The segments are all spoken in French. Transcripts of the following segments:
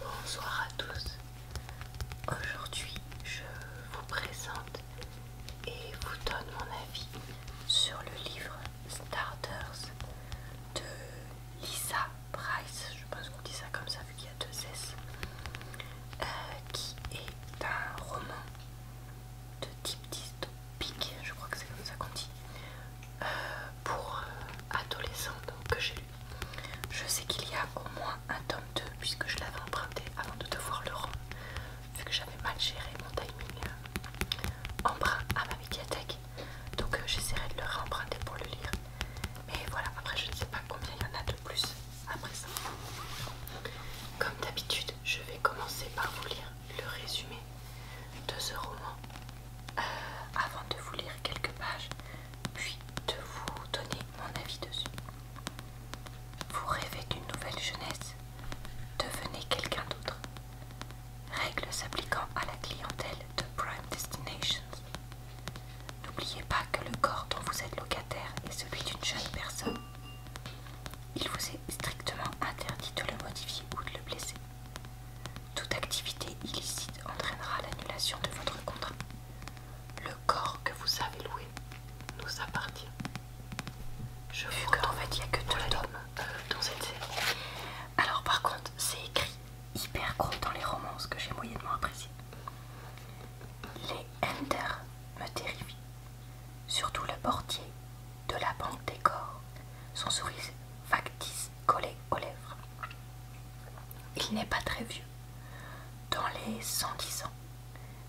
Bonsoir à tous. Aujourd'hui, je vous présente et vous donne mon avis sur le livre Starters de Lisa Price. Je pense qu'on dit ça comme ça vu qu'il y a deux S. Euh, qui est un roman de type dystopique, je crois que c'est comme ça qu'on dit, euh, pour euh, adolescents, que j'ai je sais qu'il y a au moins un tome 2 puisque je l'avais emprunté avant de devoir le rendre, vu que j'avais mal géré mon timing euh, emprunt à ma médiathèque Donc euh, j'essaierai de le réemprunter pour le lire. Mais voilà, après je ne sais pas combien il y en a de plus après ça. Comme d'habitude, je vais commencer par vous lire le résumé de ce roman euh, avant de vous lire quelques pages, puis de vous donner mon avis dessus. Vous rêvez d'une nouvelle jeunesse Devenez quelqu'un d'autre. Règles s'appliquant à la clientèle de Prime Destinations. N'oubliez pas que le corps dont vous êtes locataire est celui d'une jeune personne. Il vous est strictement interdit de le modifier ou de le blesser. Toute activité illicite entraînera l'annulation de votre contrat. Le corps que vous avez loué nous appartient. Je Vu que en fait il n'y a que deux euh, dans cette série. Alors par contre c'est écrit hyper gros dans les romances que j'ai moyennement appréciées. Les Enter me terrifient. Surtout le portier de la banque des corps. Son sourire factice collé aux lèvres. Il n'est pas très vieux, dans les 110 ans,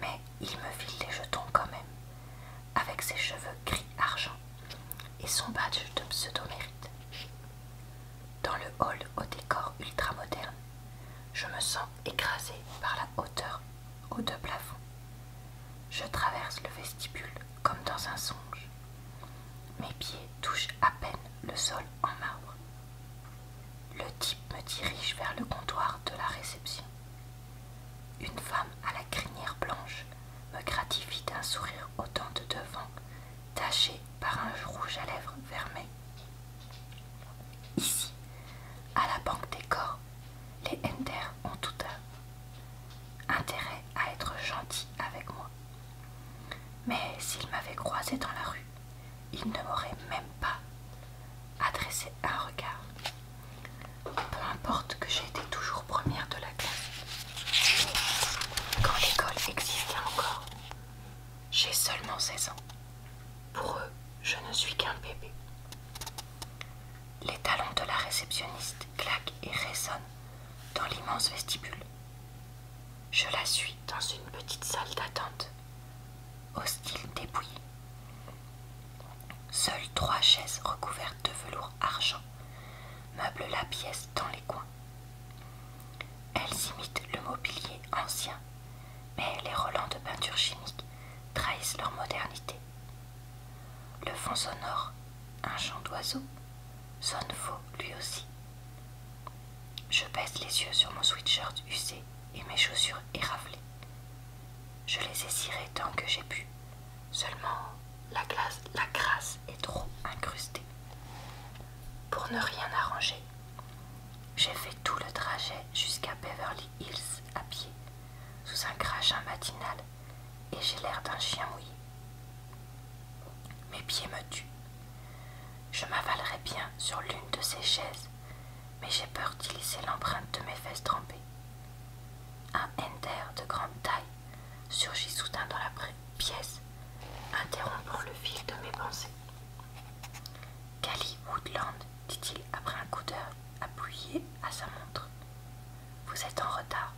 mais il me file des jetons quand même, avec ses cheveux gris-argent et son badge de pseudo-mérite. Dans le hall au décor ultra-moderne, je me sens écrasée par la hauteur aux deux plafonds. Je traverse le vestibule comme dans un songe. Mes pieds touchent à peine le sol en marbre. Le type me dirige vers le comptoir de la réception. Une femme à la crinière blanche me gratifie d'un sourire autant de devant, taché par un rouge à lèvres fermé. Ici, à la banque des corps, les Ender ont tout un intérêt à être gentils avec moi. Mais s'il m'avait croisé dans la rue, il ne m'aurait même pas adressé un regard. Peu importe que j'ai été toujours première de la classe. Quand l'école existait encore, j'ai seulement 16 ans. Pour eux, je ne suis qu'un bébé. Les talons de la réceptionniste claquent et résonnent dans l'immense vestibule. Je la suis dans une petite salle d'attente, au style dépouillé. Seules trois chaises recouvertes de velours argent meublent la pièce dans les coins. Elles imitent le mobilier ancien, mais les relents de peinture chimique trahissent leur modernité. Le fond sonore, un chant d'oiseau, sonne faux lui aussi. Je baisse les yeux sur mon sweatshirt usé et mes chaussures éraflées. Je les ai cirées tant que j'ai pu. Seulement, la glace, crasse est trop incrustée. Pour ne rien arranger, j'ai fait tout le trajet jusqu'à Beverly Hills à pied, sous un crachat matinal, et j'ai l'air d'un chien mouillé. Mes pieds me tuent. Je m'avalerai bien sur l'une de ces chaises, mais j'ai peur d'y laisser l'empreinte de mes fesses trempées. Un ender de grande taille surgit soudain dans la pièce, interrompant le fil de mes pensées. Cali Woodland, dit-il après un coup d'œil appuyé à sa montre. Vous êtes en retard.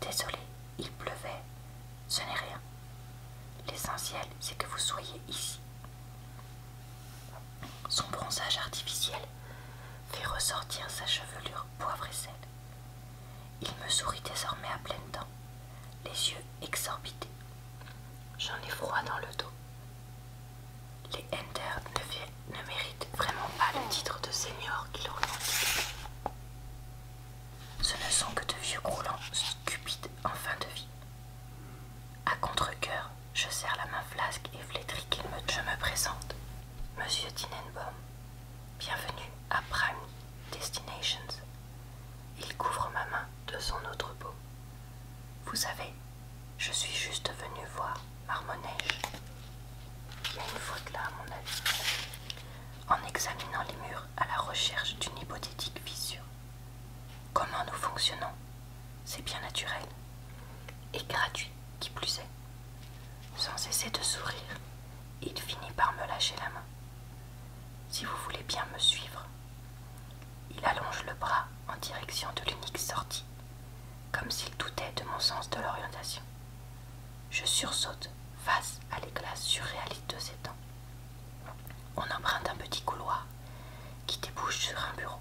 Désolé, il pleuvait, ce n'est rien. L'essentiel, c'est que vous soyez ici. Son bronzage artificiel fait ressortir sa chevelure poivre et sel. Il me sourit désormais à pleine dents, les yeux exorbités. J'en ai froid dans le dos. Les Ender ne, méritent vraiment pas le titre de seigneur qu'ils ont. Ce ne sont que de vieux croulants cupides en fin de vie. À contre-coeur, je serre la main flasque et flétrie qu'il Je me présente, Monsieur Tinenbaum. Bienvenue à Prime Destinations. Il couvre ma main de son autre peau. Vous savez, je suis juste venu voir Marmoneige. Il y a une faute là, mon avis. En examinant les murs, à la recherche d'une hypothétique vision. Comment nous fonctionnons C'est bien naturel et gratuit, qui plus est. Sans cesser de sourire, il finit par me lâcher la main. Si vous voulez bien me suivre, il allonge le bras en direction de l'unique sortie, comme s'il doutait de mon sens de l'orientation. Je sursaute face à l'éclat surréaliste de ses dents. On emprunte un petit couloir qui débouche sur un bureau.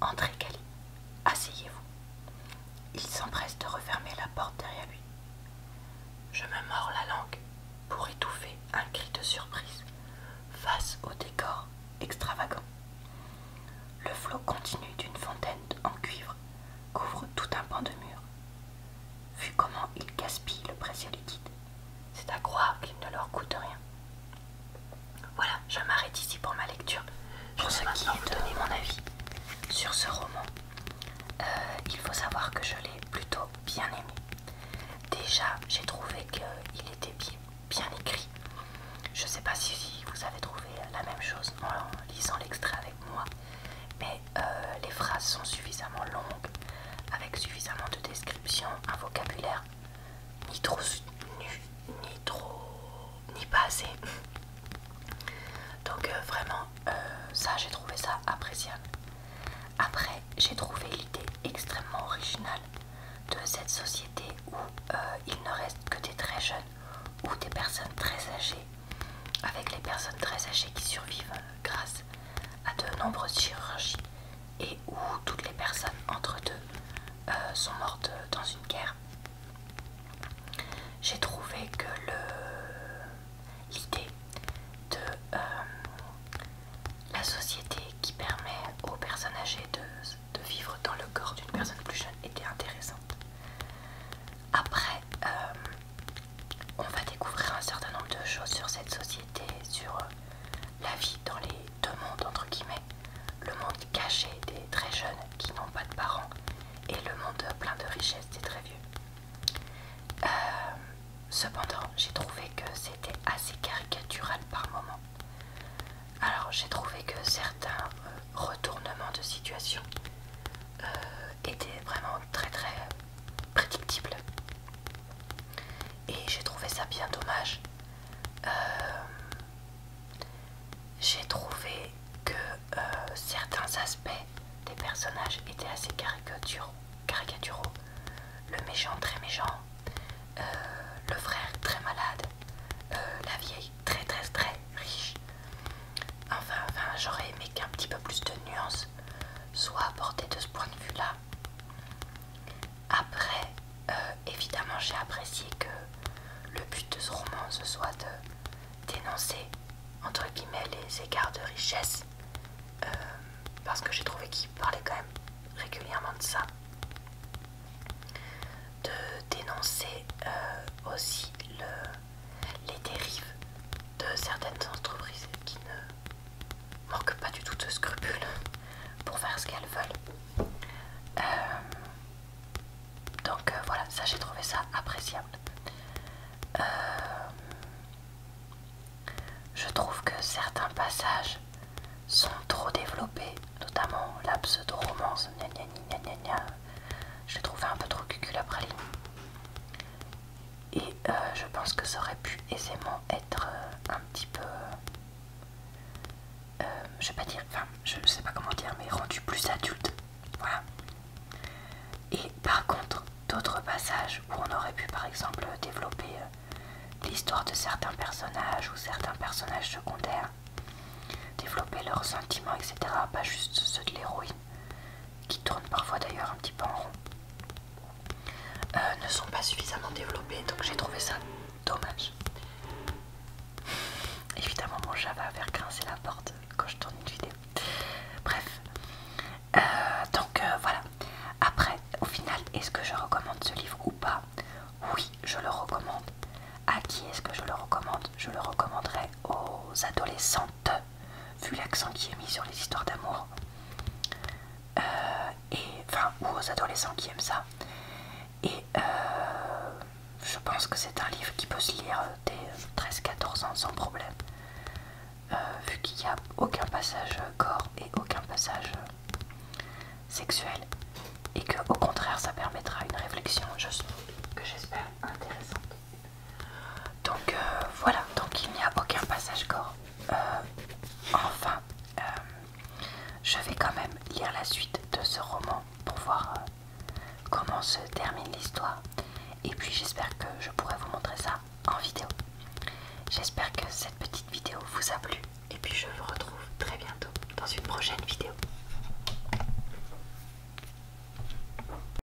Entrez, Cali. Asseyez-vous. Il s'empresse de refermer la porte derrière lui. Je me mords la langue pour étouffer un cri de surprise face au décor extravagant. Le flot continu d'une fontaine en cuivre couvre tout un pan de mur Vu comment ils gaspillent le précieux liquide, c'est à croire qu'il ne leur coûte rien. Voilà, je m'arrête ici pour ma lecture. Je pour ceux qui ont donné donner mon avis sur ce roman, euh, il faut savoir que je l'ai plutôt bien aimé. Déjà, j'ai trouvé qu'il était bien écrit. Je ne sais pas si vous avez trouvé la même chose en lisant l'extrait moi, mais euh, les phrases sont suffisamment longues, avec suffisamment de descriptions, un vocabulaire ni trop soutenu, ni trop, ni pas assez. Donc euh, vraiment, euh, ça j'ai trouvé ça appréciable. Après, j'ai trouvé l'idée extrêmement originale de cette société où il ne reste que des très jeunes ou des personnes très âgées avec les personnes très âgées qui survivent grâce à de nombreuses chirurgies et où toutes les personnes entre deux euh, sont mortes dans une guerre. J'ai trouvé que l'idée de euh, la société qui permet aux personnes âgées de vivre dans le corps d'une personne plus jeune était intéressante. Après, euh, on va découvrir un certain nombre de choses sur cette société, sur euh, la vie dans les deux mondes, entre guillemets. Le monde caché des très jeunes qui n'ont pas de parents et le monde plein de richesses des très vieux. Euh, cependant, j'ai trouvé que c'était assez caricatural par moments. Alors, j'ai trouvé que certains retournements de situation étaient vraiment très très prédictible. Et j'ai trouvé ça bien dommage. Euh, j'ai trouvé que euh, certains aspects des personnages étaient assez caricaturaux. Le méchant très méchant, euh, le frère très malade, la vieille très très très riche. Enfin, j'aurais aimé qu'un petit peu plus de nuances soient apportées de ce point de vue-là. Après, euh, évidemment, j'ai apprécié que le but de ce roman, ce soit de dénoncer, entre guillemets, les écarts de richesse, euh, parce que j'ai trouvé qu'il parlait quand même régulièrement de ça. De dénoncer euh, aussi le les dérives de certaines entreprises qui ne manquent pas du tout de scrupules pour faire ce qu'elles veulent. Euh, donc euh, voilà, ça j'ai trouvé ça appréciable. Euh, je trouve que certains passages sont trop développés, notamment la pseudo-romance, je l'ai trouvé un peu trop cucul après ligne et euh, je pense que ça aurait pu aisément être euh, un petit peu euh, je ne dire enfin je sais pas comment dire mais rendu plus adulte voilà et par contre d'autres passages où on aurait pu par exemple développer l'histoire de certains personnages ou certains personnages secondaires développer leurs sentiments etc pas juste ceux de l'héroïne qui tournent parfois d'ailleurs un petit peu en rond, euh, ne sont pas suffisamment développés, donc j'ai trouvé ça dommage. Évidemment, mon chat va faire grincer la porte quand je tourne une vidéo. Bref, euh, donc euh, voilà. Après, au final, est-ce que je recommande ce livre ou pas Oui, je le recommande. À qui est-ce que je le recommande Je le recommanderais aux adolescentes vu l'accent qui est mis sur les histoires d'amour, euh, et enfin, ou aux adolescents qui aiment ça. Et euh, je pense que c'est un livre qui peut se lire dès 13-14 euh, ans sans problème, vu qu'il n'y a aucun passage corps et aucun passage sexuel, et que au contraire, ça permettra une réflexion, que j'espère intéressante. Donc euh, voilà, donc il n'y a aucun passage corps. Euh, enfin, euh, je vais quand même lire la suite de ce roman pour voir comment se termine l'histoire. Et puis j'espère que je pourrai vous montrer ça en vidéo. J'espère que cette petite vidéo vous a plu. Et puis je vous retrouve très bientôt dans une prochaine vidéo.